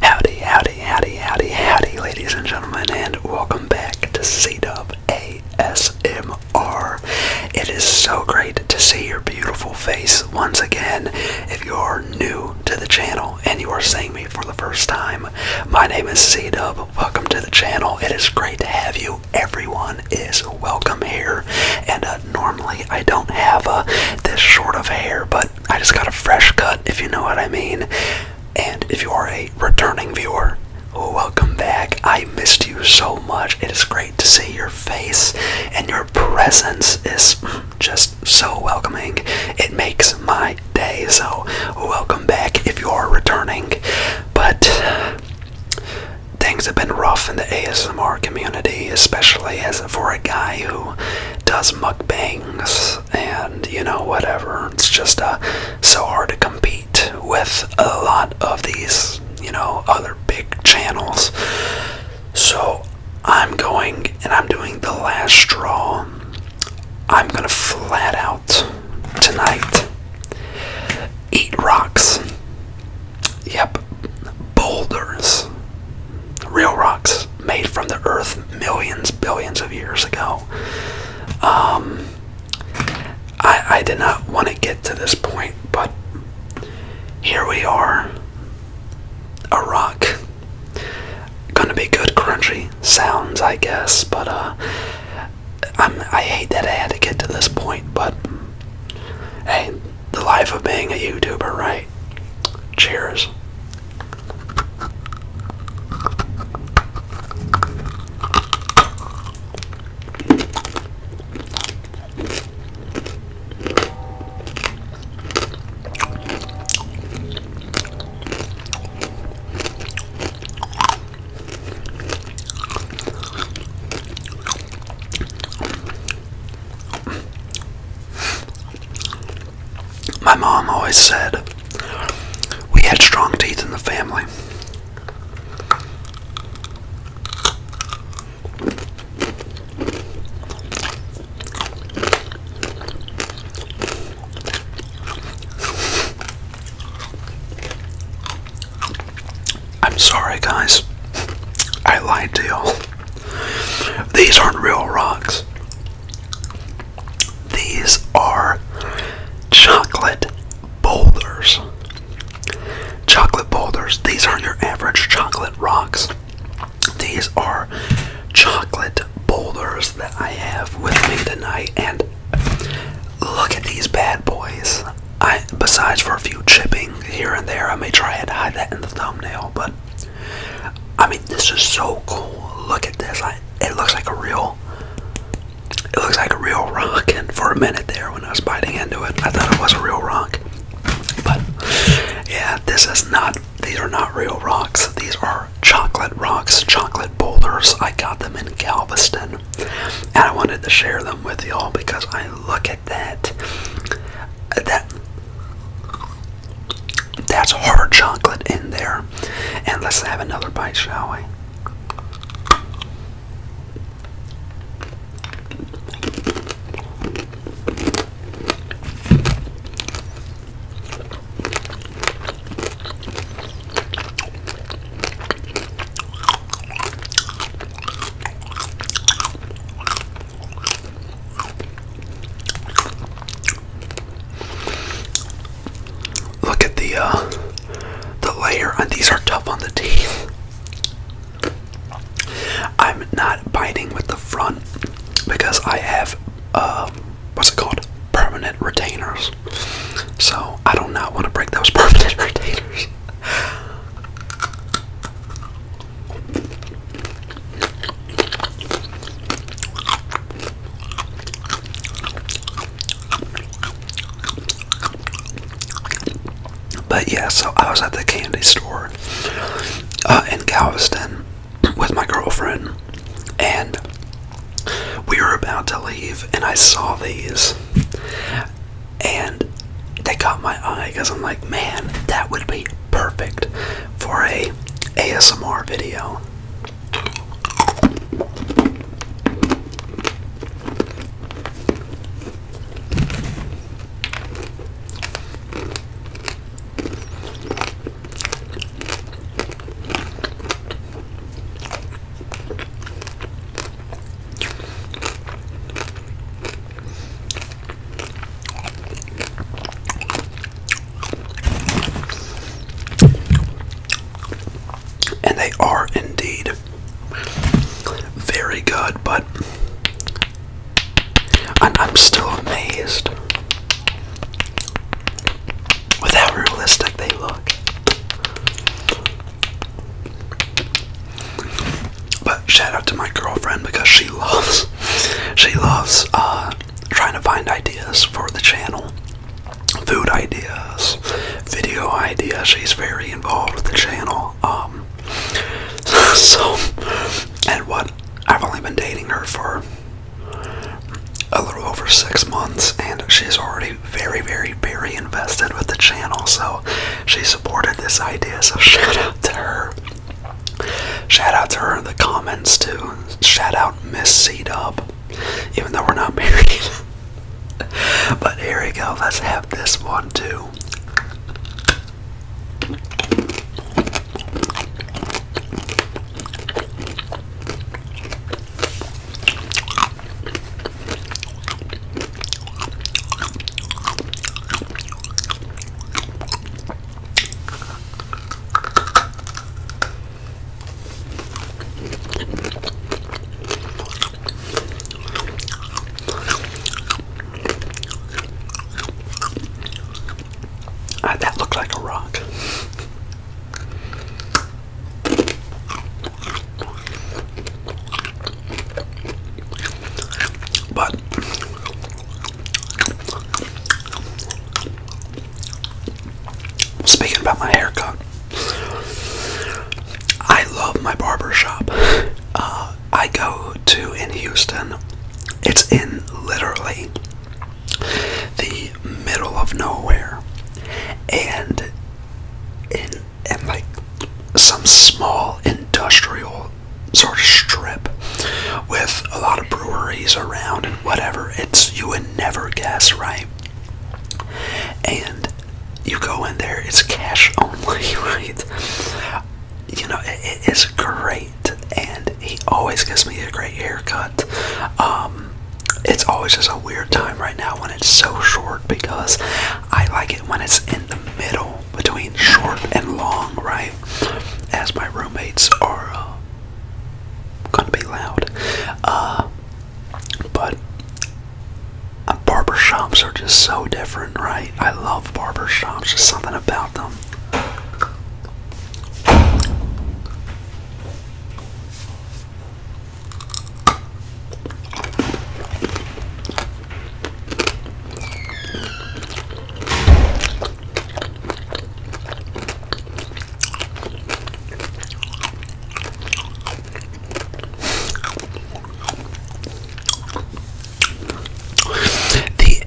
Howdy, howdy, howdy, howdy, howdy, ladies and gentlemen, and welcome back to C-Dub ASMR. It is so great to see your beautiful face once again. If you are new to the channel and you are seeing me for the first time, my name is C-Dub. Welcome to the channel. It is great to have you. Everyone is welcome here. And uh, normally I don't have uh, this short of hair, but I just got a fresh cut, if you know what I mean. And if you are a returning viewer, welcome back. I missed you so much. It is great to see your face, and your presence is just so welcoming. It makes my day, so welcome back if you are returning. But things have been rough in the ASMR community, especially as for a guy who does mukbangs and you know whatever. It's just uh, so hard to compete with a lot of these you know other big channels. So I'm going and I'm doing the last straw. I'm gonna flat out tonight eat rocks. Yep, boulders, real rocks made from the earth millions, billions of years ago. Um, I, I did not want to get to this point, but here we are. A rock. Gonna be good, crunchy sounds, I guess, but uh, i I hate that I had to get to this point, but hey, the life of being a YouTuber, right? Cheers. My mom always said we had strong teeth in the family. I'm sorry, guys. I lied to you. These aren't real rocks. These are chocolate boulders. Chocolate boulders. These aren't your average chocolate rocks. These are chocolate boulders that I have with me tonight. And look at these bad boys. I besides for a few chipping here and there, I may try and hide that in the thumbnail, but I mean, this is so cool. Look at this. it looks like a real, it looks like a real rock. And for a minute there, when I was biting into it, I thought it was a real rock. But yeah, this is not. These are not real rocks. These are chocolate rocks, chocolate boulders. I got them in Galveston, and I wanted to share them with y'all because I look at that that that's hard chocolate in there. And let's have another bite, shall we? Look at the uh, the layer, and these are tough on the teeth. I'm not biting with the front because I have uh, what's it called? Permanent retainers. So I do not want to break those permanent retainers. But yeah, so I was at the candy store uh, in Galveston with my girlfriend, and we were about to leave, and I saw these, and they caught my eye because I'm like, man, that would be perfect for a ASMR video. And they are indeed very good, but I'm still amazed with how realistic they look. But shout out to my girlfriend because she loves she loves uh trying to find ideas for the channel. Food ideas, video ideas. She's very involved with the channel. Um so and what I've only been dating her for a little over six months and she's already very, very, very invested with the channel, so she supported this idea. So shout out to her. Shout out to her in the comments too. Shout out Miss C Dub, even though we're not married. but here we go. Let's have this one too. Ah, that looked like a rock. But speaking about my haircut, I love my barber shop. Uh, I go to in Houston. It's in literally the middle of nowhere, and in and like some small industrial sort of strip with a lot of breweries around and whatever. It's you would never guess, right? And you go in there, it's cash only, right? You know, it is great, and he always gives me a great haircut. Um, it's always just a weird time right now when it's so short because I like it when it's in the middle between short and long, right? As my roommates are uh, gonna be loud. Uh, but uh, barber shops are just so different, right? I love barber shops, just something about them.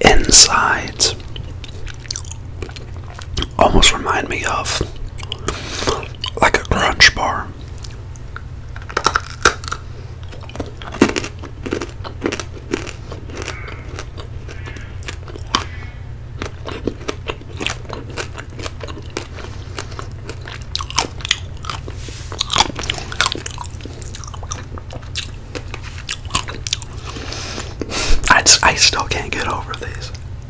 The insides almost remind me of like a crunch bar. I, I still can't get over these.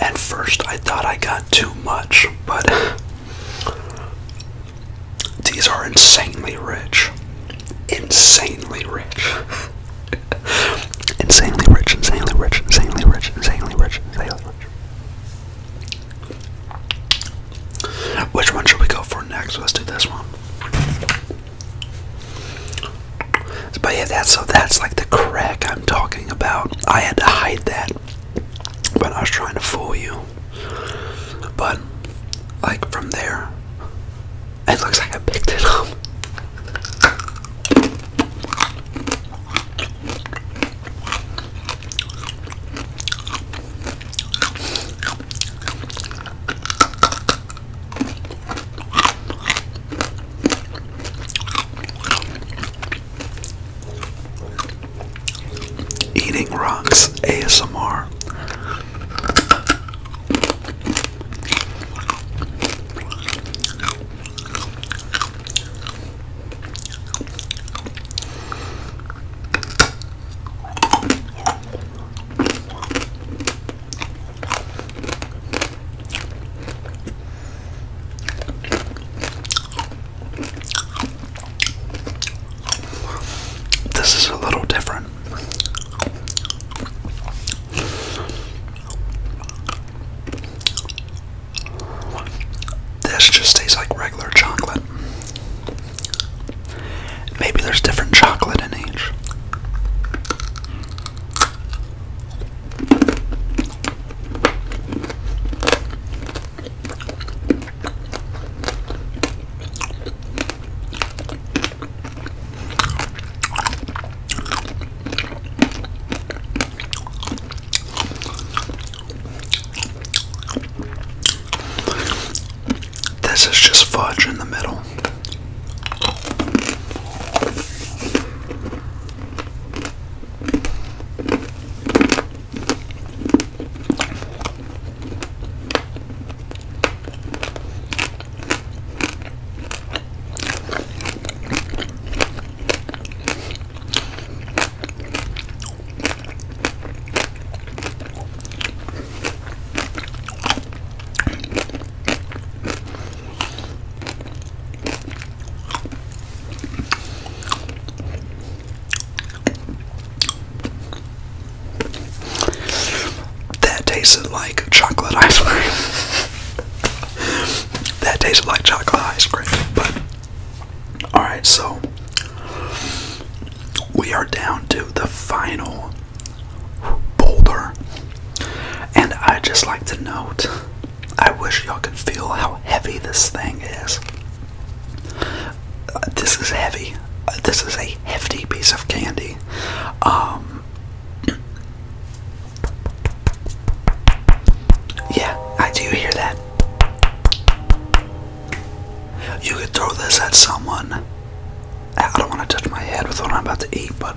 At first, I thought I got too much, but these are insanely rich. Insanely rich. insanely rich, insanely rich, insanely rich, insanely rich, insanely rich. Which one should we go for next? Let's do this one. But yeah, that's so that's like the crack I'm talking about. I had to hide that but I was trying to fool you. But like from there, it looks like I picked it up. Eating rocks ASMR. This is a little different. This just tastes like regular chocolate. Maybe there's different chocolate in each. This is just fudge in the middle. That tasted like chocolate ice cream. That tasted like chocolate ice cream. But alright, so we are down to the final boulder. And I just like to note, I wish y'all could feel how heavy this thing is. Uh, this is heavy. Uh, this is a hefty piece of candy. Um, yeah, I do hear that. You could throw this at someone. I don't want to touch my head with what I'm about to eat, but.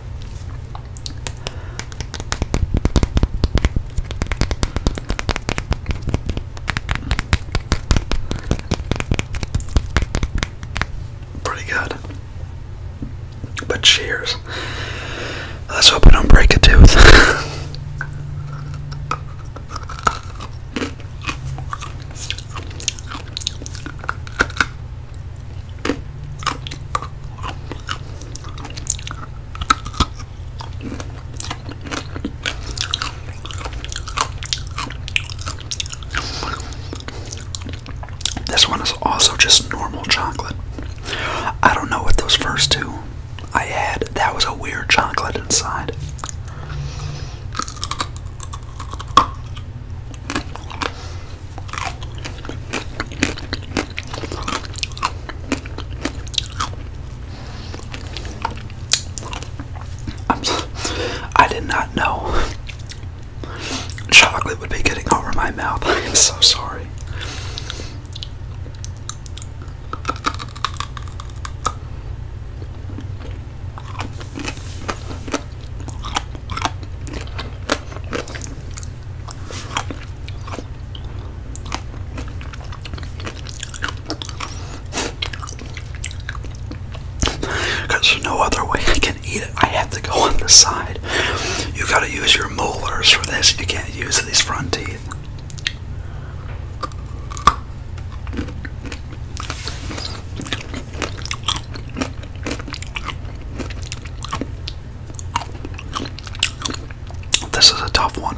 Pretty good. But cheers. Let's hope I don't break a tooth. This one is also just normal chocolate. I don't know what those first two I had. That was a weird chocolate inside. i did not know Chocolate would be getting over my mouth. I am so sorry. there's no other way I can I have to go on the side. You have gotta use your molars for this. You can't use these front teeth. This is a tough one.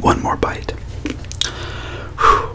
One more bite. Whew.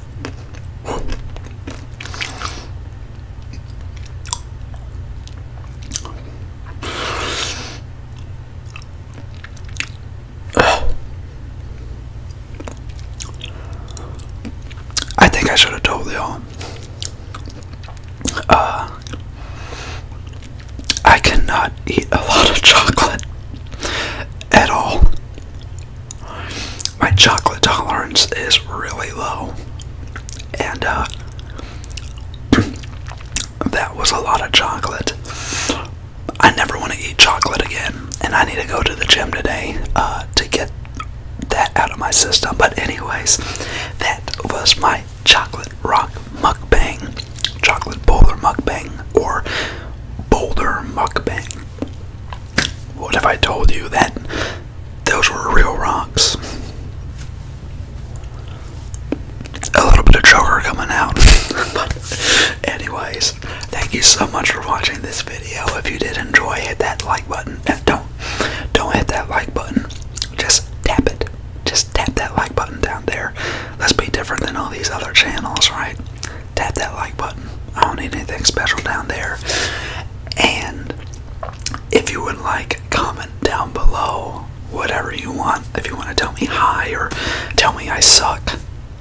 I think I should have told you uh, I cannot eat a lot of chocolate at all. My chocolate tolerance is really low, and uh, that was a lot of chocolate. I never want to eat chocolate again, and I need to go to the gym today uh, to get that out of my system. But, anyways, that was my chocolate rock mukbang, chocolate bowler mukbang, or Boulder mukbang. What if I told you that those were real rocks? A little bit of choker coming out. but anyways, thank you so much for watching this video. If you did enjoy, hit that like button. don't don't hit that like button. Just tap it. Just tap that like button down there. Let's be different than all these other channels, right? tap that like button. I don't need anything special down there. And if you would like, comment down below whatever you want. If you want to tell me hi or tell me I suck,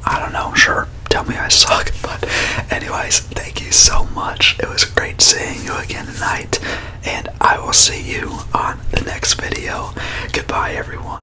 I don't know, sure, tell me I suck. But, anyways, thank you so much. It was great seeing you again tonight. And I will see you on the next video. Goodbye, everyone.